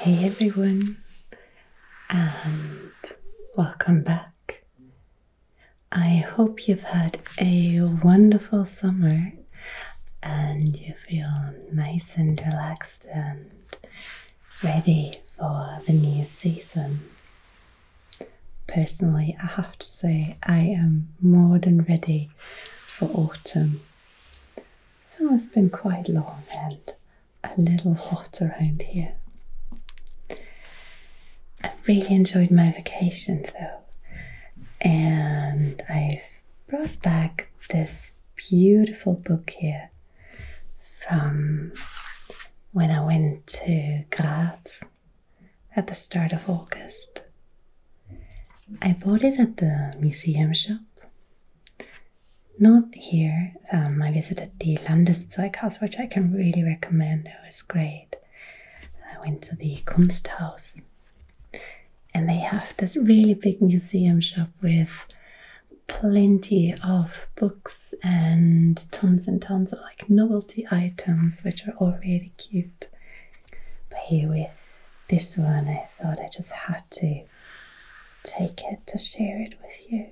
Hey everyone, and welcome back. I hope you've had a wonderful summer and you feel nice and relaxed and ready for the new season. Personally, I have to say, I am more than ready for autumn. Summer's been quite long and a little hot around here. I really enjoyed my vacation though, and I've brought back this beautiful book here from when I went to Graz at the start of August. I bought it at the museum shop. Not here. Um, I visited the Landeszeug which I can really recommend. It was great. I went to the Kunsthaus, and they have this really big museum shop with plenty of books and tons and tons of like novelty items, which are all really cute. But here with this one I thought I just had to take it to share it with you.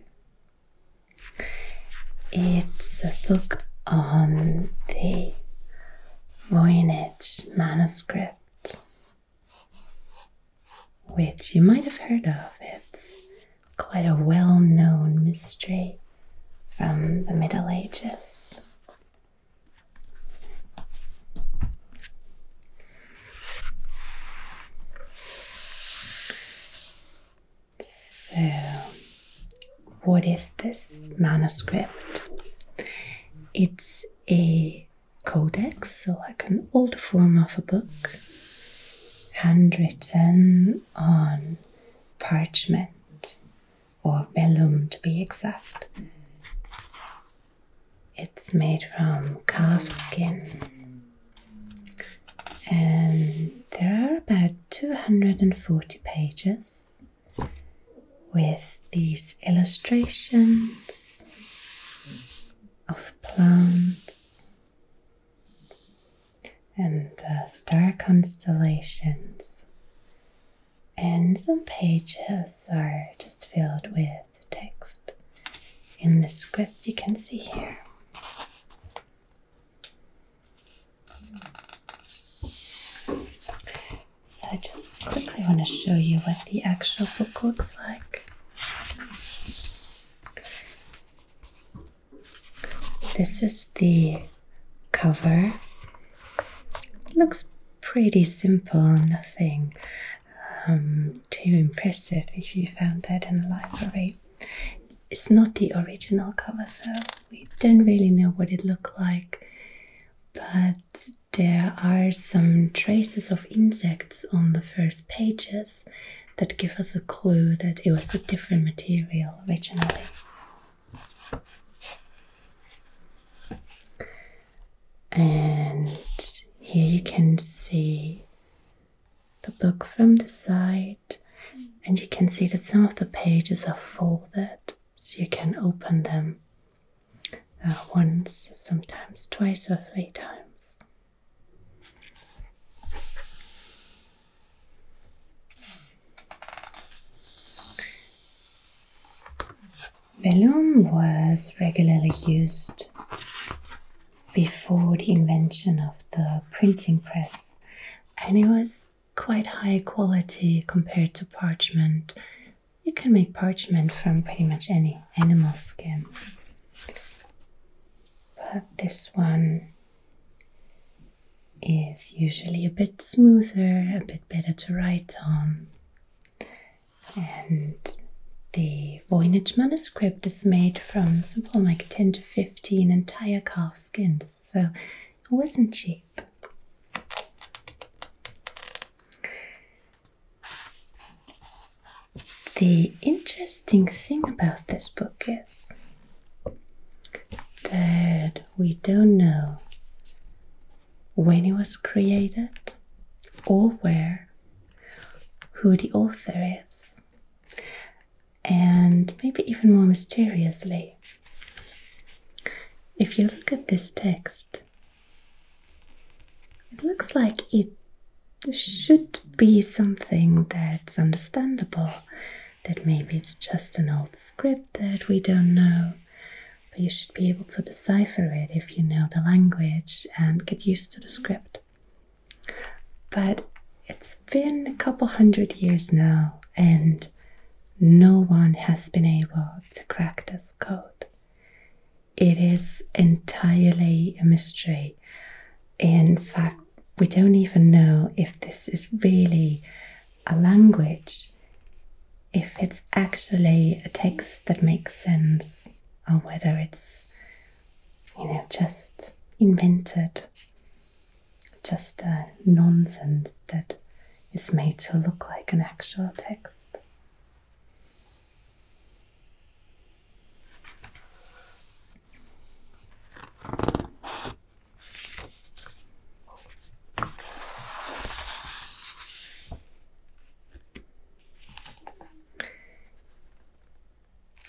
It's a book on the Voynich manuscript, which you might have heard of. It's quite a well known mystery from the Middle Ages. So, what is this manuscript? It's a codex, so like an old form of a book, handwritten on parchment or vellum to be exact. It's made from calf skin. And there are about 240 pages with these illustrations of plants and uh, star constellations and some pages are just filled with text. In the script, you can see here. So, I just quickly want to show you what the actual book looks like. This is the cover. looks pretty simple, nothing um, too impressive if you found that in the library. It's not the original cover, so we don't really know what it looked like, but there are some traces of insects on the first pages that give us a clue that it was a different material originally. And here you can see the book from the side, and you can see that some of the pages are folded so you can open them uh, once, sometimes twice, or three times. Vellum was regularly used before the invention of the printing press, and it was quite high quality compared to parchment. You can make parchment from pretty much any animal skin. But this one is usually a bit smoother, a bit better to write on. And the Voynich manuscript is made from something like 10 to 15 entire calf skins, so it wasn't cheap. The interesting thing about this book is that we don't know when it was created, or where, who the author is, and maybe even more mysteriously, if you look at this text, it looks like it should be something that's understandable, that maybe it's just an old script that we don't know but you should be able to decipher it if you know the language and get used to the script. But it's been a couple hundred years now, and no one has been able to crack this code. It is entirely a mystery. In fact, we don't even know if this is really a language if it's actually a text that makes sense or whether it's, you know, just invented, just nonsense that is made to look like an actual text.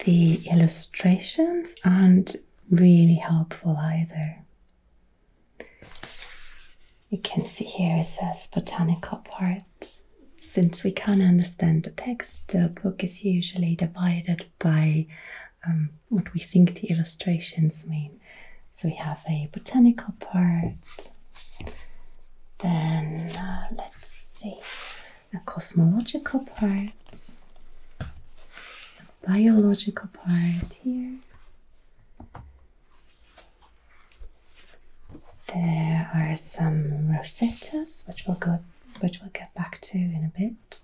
The illustrations aren't really helpful either. You can see here it says botanical parts. Since we can't understand the text, the book is usually divided by um, what we think the illustrations mean. So we have a botanical part, then uh, let's see, a cosmological part, a biological part here. There are some rosettas, which we'll go, which we'll get back to in a bit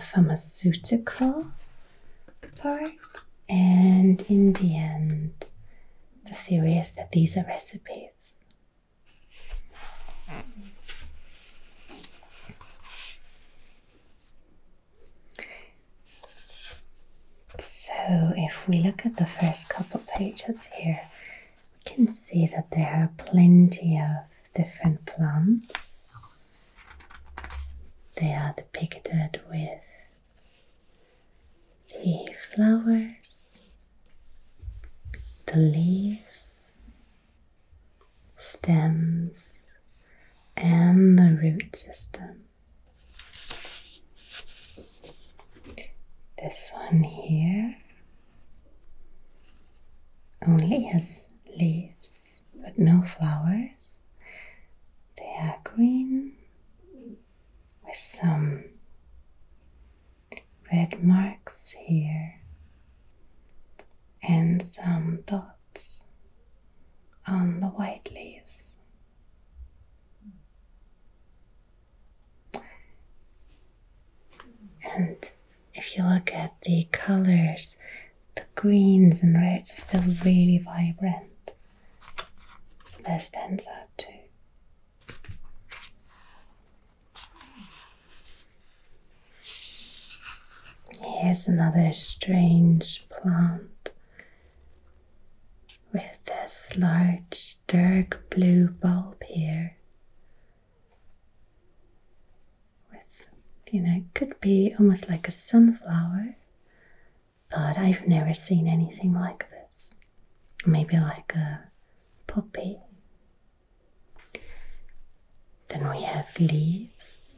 pharmaceutical part, and in the end, the theory is that these are recipes. So, if we look at the first couple pages here, we can see that there are plenty of different plants they are depicted with the flowers, the leaves, stems, and the root system. This one here only has leaves but no flowers. They are green with some red marks here and some dots on the white leaves. And if you look at the colors, the greens and reds are still really vibrant. So that stands too. Here's another strange plant with this large dark blue bulb here with you know it could be almost like a sunflower but i've never seen anything like this maybe like a poppy then we have leaves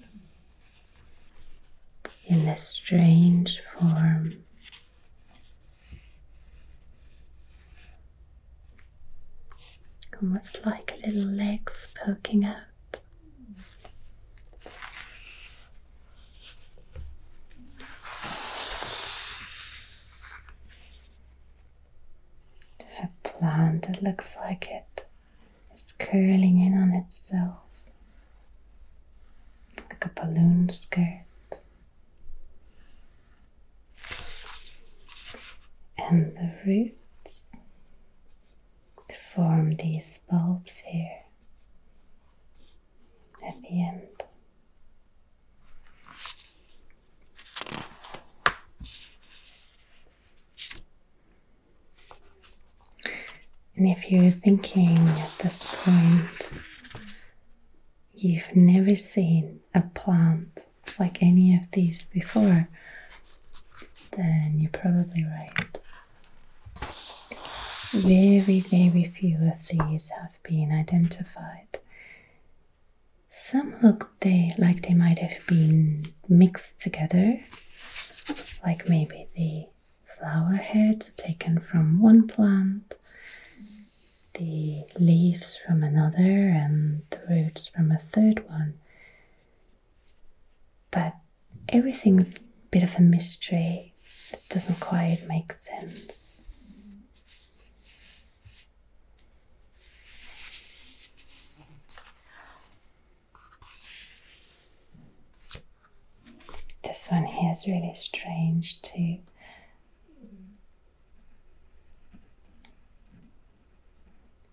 in a strange form almost like little legs poking out. A plant that looks like it is curling in on itself like a balloon skirt. And the roots to form these bulbs here at the end. And if you're thinking at this point, you've never seen a plant like any of these before, then you're probably right. Very, very few of these have been identified. Some look they like they might have been mixed together, like maybe the flower heads taken from one plant, the leaves from another, and the roots from a third one. But everything's a bit of a mystery It doesn't quite make sense. This one here is really strange too.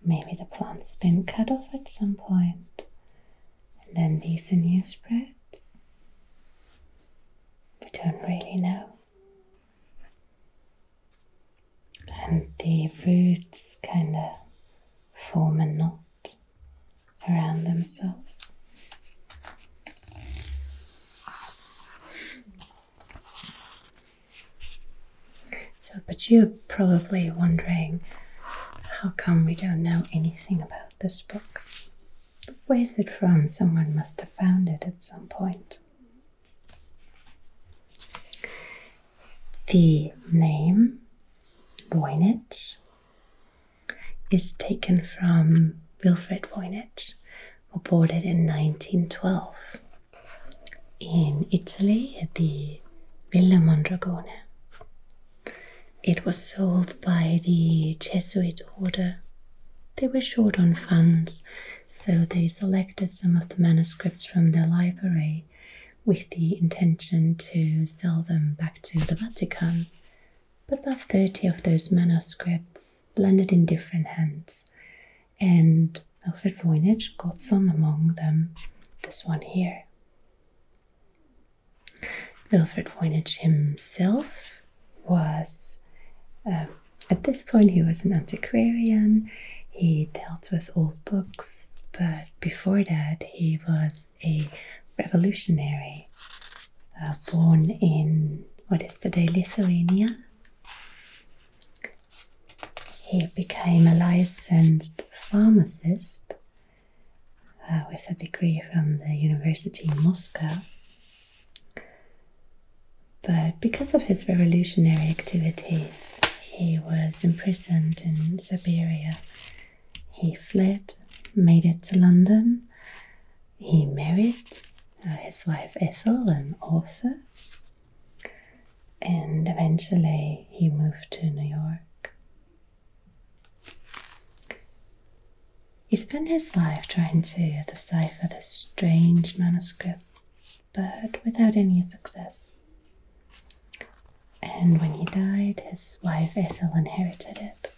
Maybe the plant's been cut off at some point, and then these new sprouts. We don't really know. And the roots kind of form a knot around themselves. So, but you're probably wondering how come we don't know anything about this book? Where is it from? Someone must have found it at some point. The name Voynich is taken from Wilfred Voynich, who boarded in 1912 in Italy at the Villa Mondragone. It was sold by the Jesuit order. They were short on funds, so they selected some of the manuscripts from their library with the intention to sell them back to the Vatican. But about 30 of those manuscripts landed in different hands, and Alfred Voynich got some, among them this one here. Alfred Voynich himself was, um, at this point, he was an antiquarian. He dealt with old books, but before that, he was a revolutionary uh, born in what is today Lithuania. He became a licensed pharmacist uh, with a degree from the University in Moscow. But because of his revolutionary activities, he was imprisoned in Siberia. He fled, made it to London. He married uh, his wife Ethel, an author, and eventually he moved to New York. He spent his life trying to decipher this strange manuscript, but without any success. And when he died, his wife Ethel inherited it.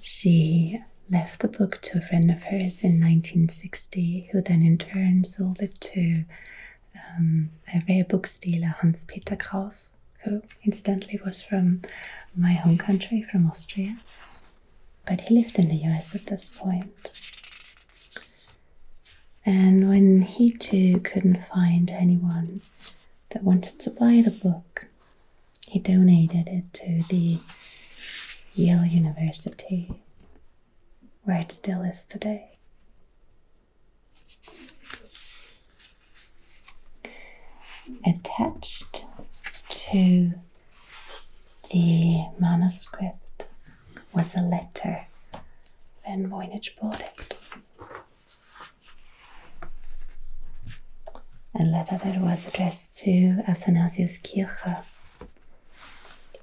She left the book to a friend of hers in 1960, who then in turn sold it to um, a rare book dealer, Hans Peter Kraus, who incidentally was from my home country, from Austria. But he lived in the US at this point. And when he too couldn't find anyone that wanted to buy the book, he donated it to the Yale University, where it still is today. Attached to the manuscript was a letter when Voynich bought it. A letter that was addressed to Athanasius Kircher,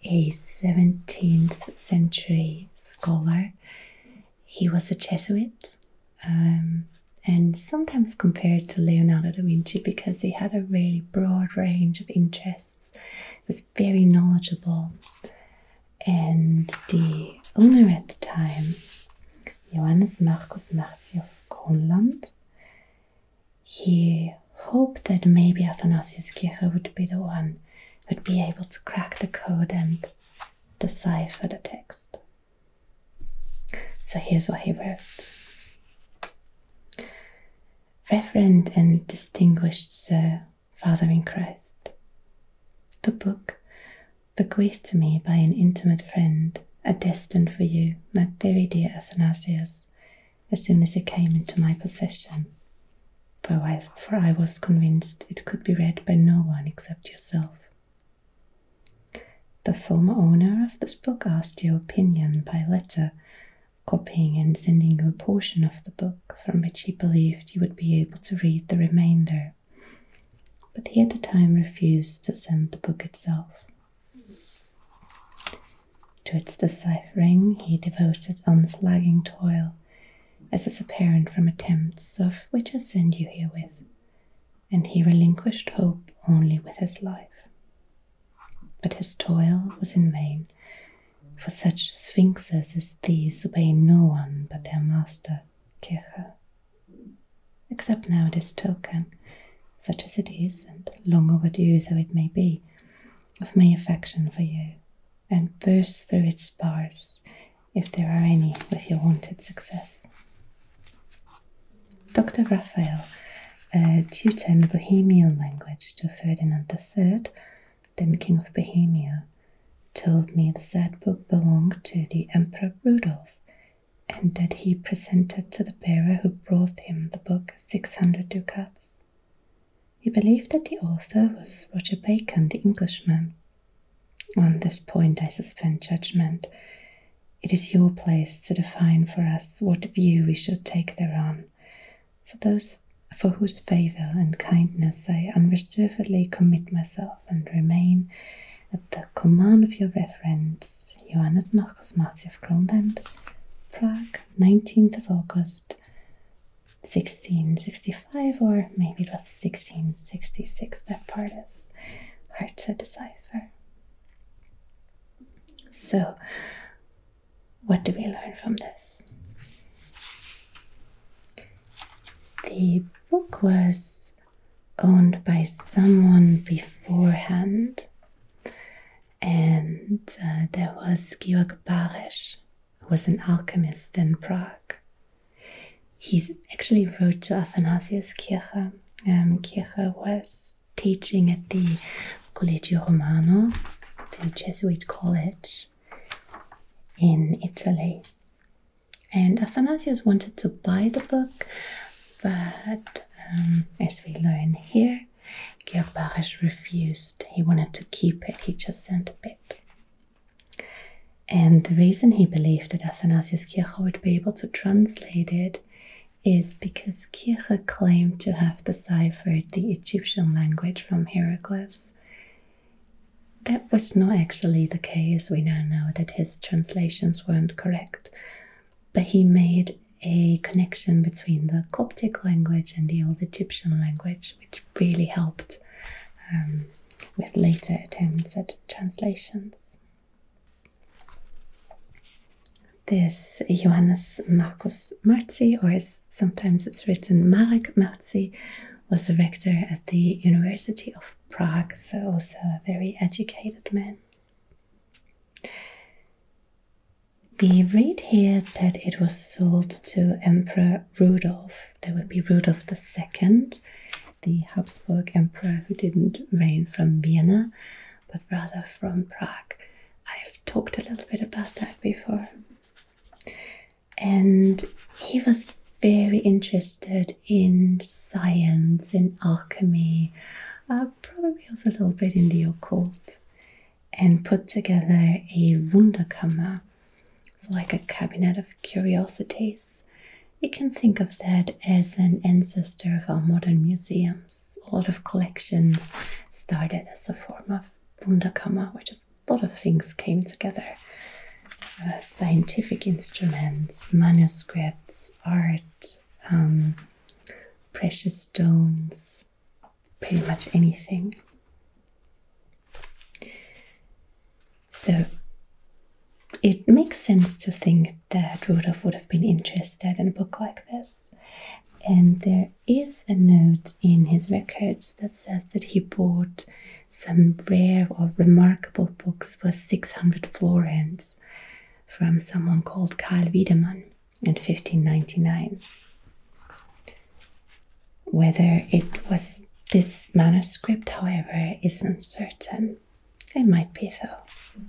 a 17th century scholar. He was a Jesuit um, and sometimes compared to Leonardo da Vinci because he had a really broad range of interests, was very knowledgeable. And the owner at the time, Johannes Marcus of Gronland he hoped that maybe Athanasius Kircher would be the one who'd be able to crack the code and decipher the text. So here's what he wrote. Reverend and distinguished Sir, Father in Christ, the book bequeathed to me by an intimate friend are destined for you, my very dear Athanasius, as soon as it came into my possession. For I, for I was convinced it could be read by no one except yourself. The former owner of this book asked your opinion by letter, copying and sending you a portion of the book from which he believed you would be able to read the remainder. But he at the time refused to send the book itself, to its deciphering, he devoted unflagging toil, as is apparent from attempts of which I send you herewith, and he relinquished hope only with his life. But his toil was in vain, for such sphinxes as these obey no one but their master, Kircher. Accept now this token, such as it is and long overdue though it may be, of my affection for you, and burst through its bars if there are any with your wanted success. Dr. Raphael, tutor in the Bohemian language to Ferdinand III, then King of Bohemia, told me the sad book belonged to the Emperor Rudolph and that he presented to the bearer who brought him the book 600 ducats. He believed that the author was Roger Bacon, the Englishman. On this point, I suspend judgment. It is your place to define for us what view we should take thereon. For those for whose favour and kindness I unreservedly commit myself and remain at the command of your reverence, Johannes Nachosmatiev Kronbend, Prague, 19th of August 1665, or maybe it was 1666. That part is hard to decipher. So, what do we learn from this? The book was owned by someone beforehand and uh, there was Georg Baresch, who was an alchemist in Prague. He actually wrote to Athanasius Kircher. and um, Kircher was teaching at the Collegio Romano, the Jesuit college in Italy. And Athanasius wanted to buy the book, but um, as we learn here, Georg Baresch refused. He wanted to keep it, he just sent a bit. And the reason he believed that Athanasius Kircher would be able to translate it is because Kircher claimed to have deciphered the Egyptian language from hieroglyphs. That was not actually the case. We now know that his translations weren't correct, but he made a connection between the Coptic language and the old Egyptian language, which really helped um, with later attempts at translations. This Johannes Marcus Marzi, or sometimes it's written Marek Marzi, was a rector at the University of Prague, so also a very educated man. We read here that it was sold to Emperor Rudolf. That would be Rudolf II, the Habsburg emperor who didn't reign from Vienna, but rather from Prague. I've talked a little bit about that before. And he was very interested in science, in alchemy, uh, probably was a little bit in the occult, and put together a Wunderkammer. It's like a cabinet of curiosities. You can think of that as an ancestor of our modern museums. A lot of collections started as a form of Wunderkammer, where is a lot of things came together. Uh, scientific instruments, manuscripts, art, um, precious stones, pretty much anything. So it makes sense to think that Rudolf would have been interested in a book like this. And there is a note in his records that says that he bought some rare or remarkable books for 600 florins, from someone called Karl Wiedemann in 1599. Whether it was this manuscript, however, is uncertain. It might be though.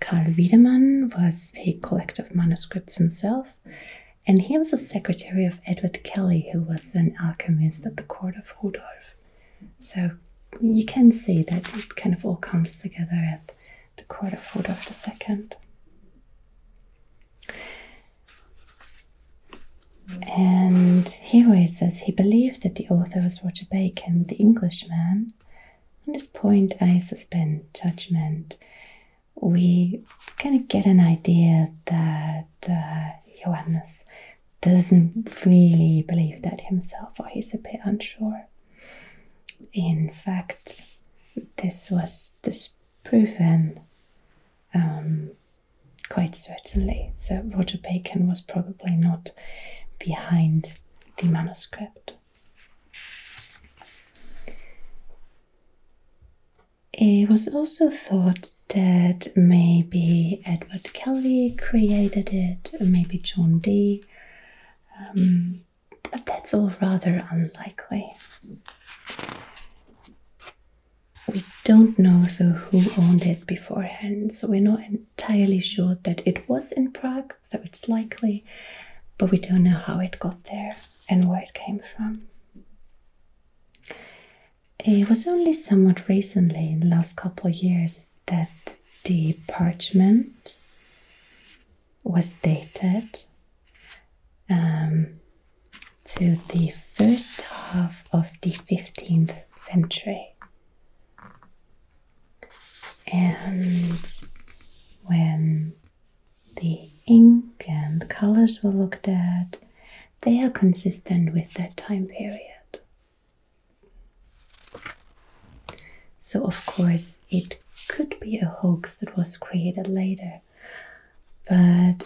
Karl Wiedemann was a collector of manuscripts himself, and he was the secretary of Edward Kelly, who was an alchemist at the court of Rudolf. So you can see that it kind of all comes together at the quarter foot of the second. And here he says he believed that the author was Roger Bacon, the Englishman. On this point, I suspend judgment. We kind of get an idea that uh, Johannes doesn't really believe that himself, or he's a bit unsure. In fact, this was disproven um, quite certainly. So Roger Bacon was probably not behind the manuscript. It was also thought that maybe Edward Kelly created it, maybe John Dee, um, but that's all rather unlikely. We don't know though who owned it beforehand, so we're not entirely sure that it was in Prague, so it's likely, but we don't know how it got there and where it came from. It was only somewhat recently, in the last couple of years, that the parchment was dated um, to the first half of the 15th century. And when the ink and the colors were looked at, they are consistent with that time period. So, of course, it could be a hoax that was created later, but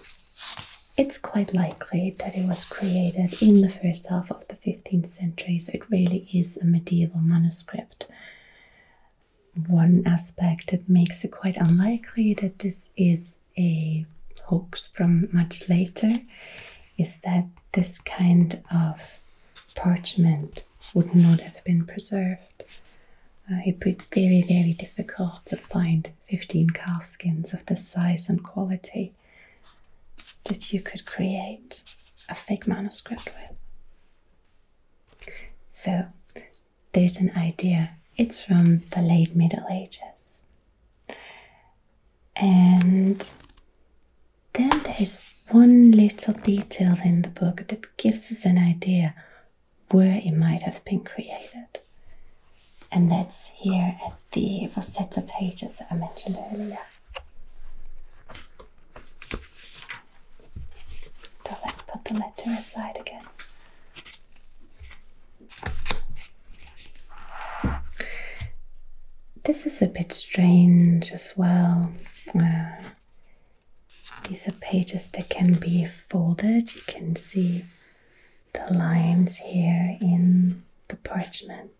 it's quite likely that it was created in the first half of the 15th century, so it really is a medieval manuscript. One aspect that makes it quite unlikely that this is a hoax from much later is that this kind of parchment would not have been preserved. Uh, it would be very, very difficult to find 15 calfskins of the size and quality that you could create a fake manuscript with. So, there's an idea. It's from the late Middle Ages. And then there is one little detail in the book that gives us an idea where it might have been created. And that's here at the Rosetta pages that I mentioned earlier. So let's put the letter aside again. This is a bit strange as well. Uh, these are pages that can be folded. You can see the lines here in the parchment.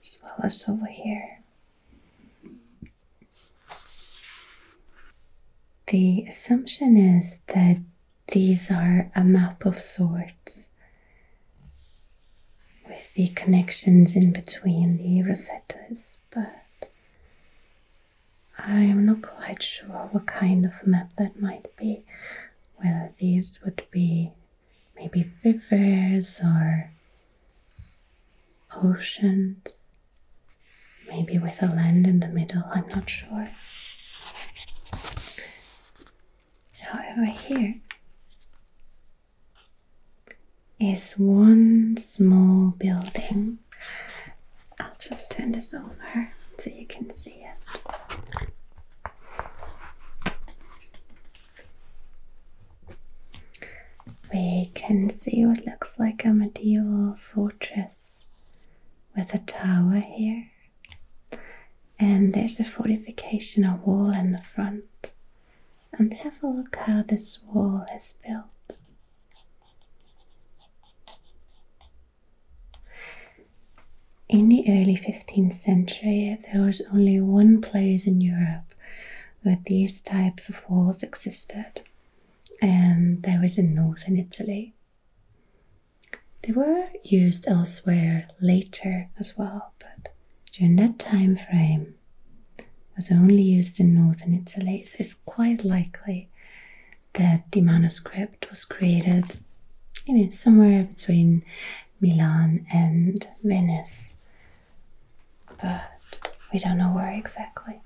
As well as over here. The assumption is that these are a map of sorts with the connections in between the rosettas, but I am not quite sure what kind of map that might be. Whether these would be maybe rivers or oceans, maybe with a land in the middle, I'm not sure. However, here is one small building. I'll just turn this over so you can see it. We can see what looks like a medieval fortress with a tower here and there's a fortification wall in the front. And have a look how this wall is built. In the early 15th century, there was only one place in Europe where these types of walls existed, and that was in northern Italy. They were used elsewhere later as well, but during that time frame was only used in northern Italy. So it's quite likely that the manuscript was created somewhere between Milan and Venice, but we don't know where exactly.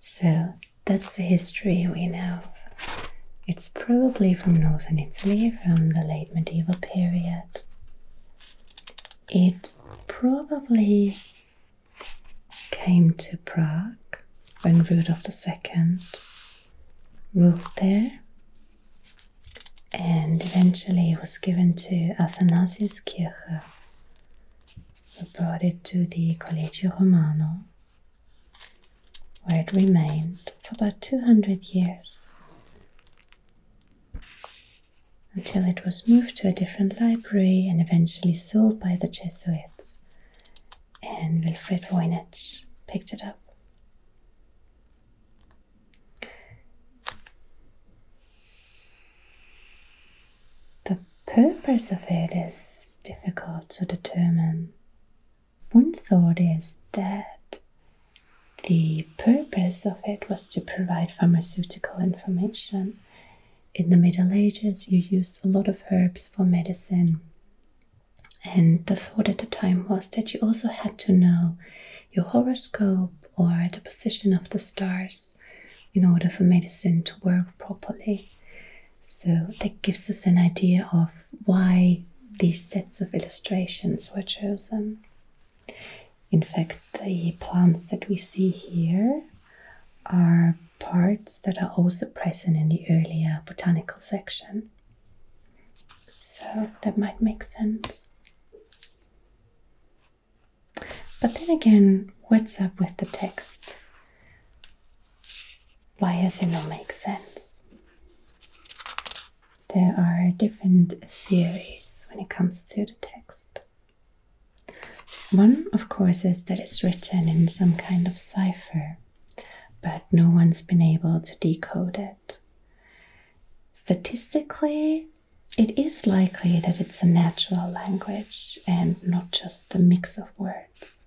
So that's the history we know. It's probably from northern Italy, from the late medieval period. It probably came to Prague when Rudolf II ruled there and eventually was given to Athanasius Kircher, who brought it to the Collegio Romano where it remained for about 200 years until it was moved to a different library and eventually sold by the Jesuits and Wilfred Voynich picked it up. The purpose of it is difficult to determine. One thought is that the purpose of it was to provide pharmaceutical information. In the Middle Ages, you used a lot of herbs for medicine. And the thought at the time was that you also had to know your horoscope or the position of the stars in order for medicine to work properly. So that gives us an idea of why these sets of illustrations were chosen. In fact, the plants that we see here are parts that are also present in the earlier botanical section. So that might make sense. But then again, what's up with the text? Why does it not make sense? There are different theories when it comes to the text. One, of course, is that it's written in some kind of cipher but no one's been able to decode it. Statistically, it is likely that it's a natural language and not just a mix of words.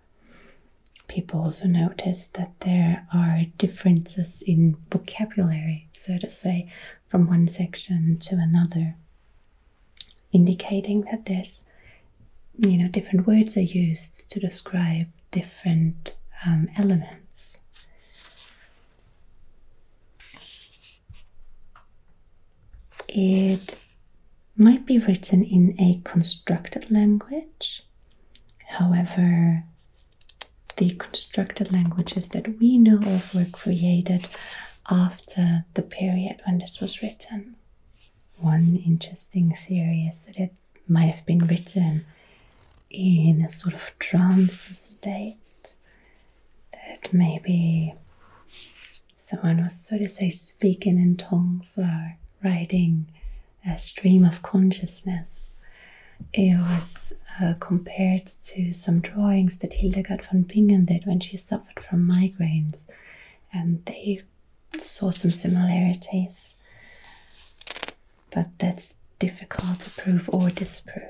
People also noticed that there are differences in vocabulary, so to say, from one section to another indicating that there's you know different words are used to describe different um, elements. It might be written in a constructed language. However, the constructed languages that we know of were created after the period when this was written. One interesting theory is that it might have been written in a sort of trance state, that maybe someone was, so to say, speaking in tongues or writing a stream of consciousness. It was uh, compared to some drawings that Hildegard von Bingen did when she suffered from migraines, and they saw some similarities, but that's difficult to prove or disprove.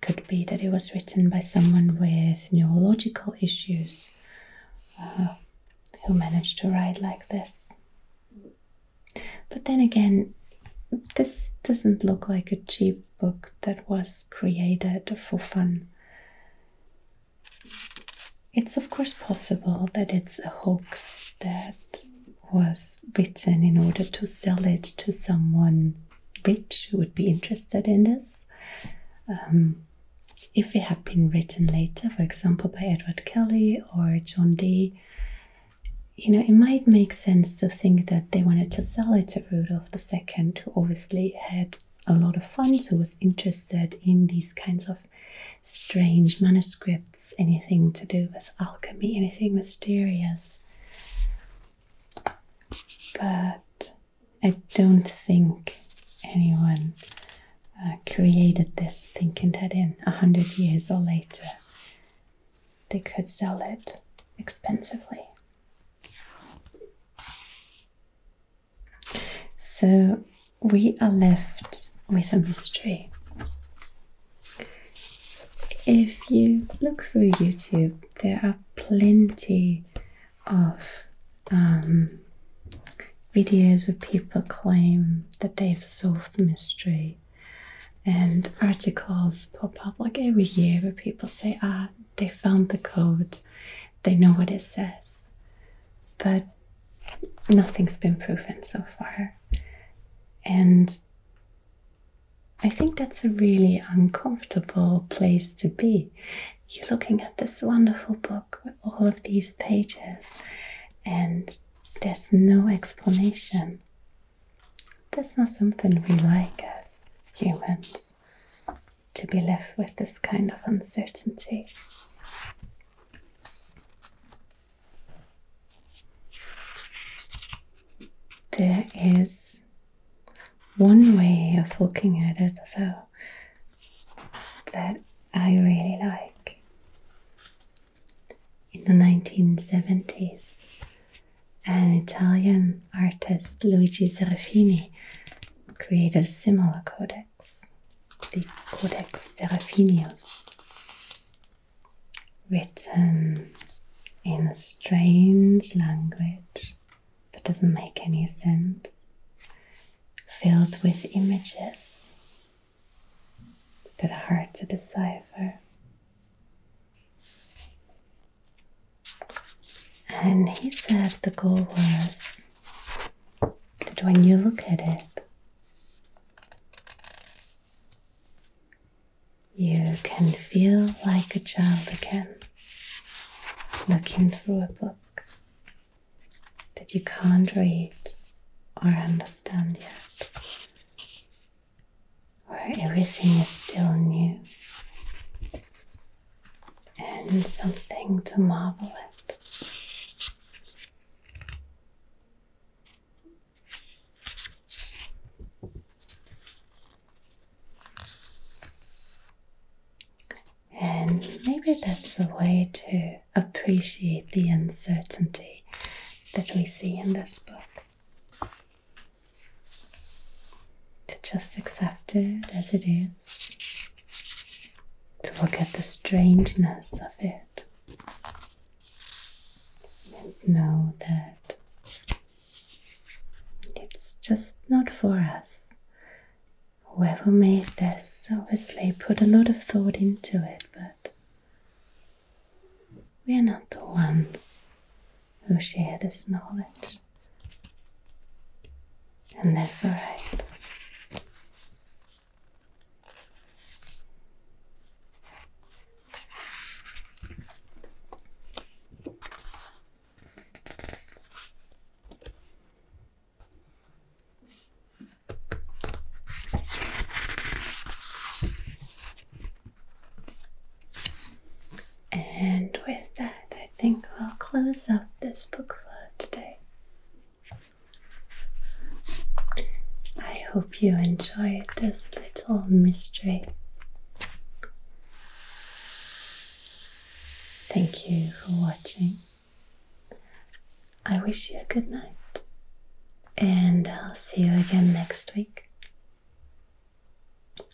Could be that it was written by someone with neurological issues uh, who managed to write like this. But then again, this doesn't look like a cheap book that was created for fun. It's of course possible that it's a hoax that was written in order to sell it to someone rich who would be interested in this. Um, if it had been written later, for example, by Edward Kelly or John Dee, you know, it might make sense to think that they wanted to sell it to Rudolf II, who obviously had a lot of funds who was interested in these kinds of strange manuscripts, anything to do with alchemy, anything mysterious. But I don't think anyone uh, created this thinking that in a hundred years or later they could sell it expensively. So we are left with a mystery. If you look through YouTube, there are plenty of um, videos where people claim that they've solved the mystery, and articles pop up like every year where people say, Ah, they found the code, they know what it says but nothing's been proven so far. And I think that's a really uncomfortable place to be. You're looking at this wonderful book with all of these pages, and there's no explanation. That's not something we like as humans to be left with this kind of uncertainty. There is one way of looking at it, though, that I really like. In the 1970s, an Italian artist, Luigi Serafini, created a similar codex the Codex Seraphinius, written in a strange language that doesn't make any sense, filled with images that are hard to decipher. And he said the goal was that when you look at it, you can feel like a child again, looking through a book that you can't read or understand yet, where everything is still new and something to marvel at. And maybe that's a way to appreciate the uncertainty that we see in this book. To just accept it as it is to look at the strangeness of it and know that it's just not for us. Whoever made this obviously put a lot of thought into it, but we are not the ones who share this knowledge and that's all right. And with that, I think I'll close up this book for today. I hope you enjoyed this little mystery. Thank you for watching. I wish you a good night, and I'll see you again next week.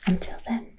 Until then.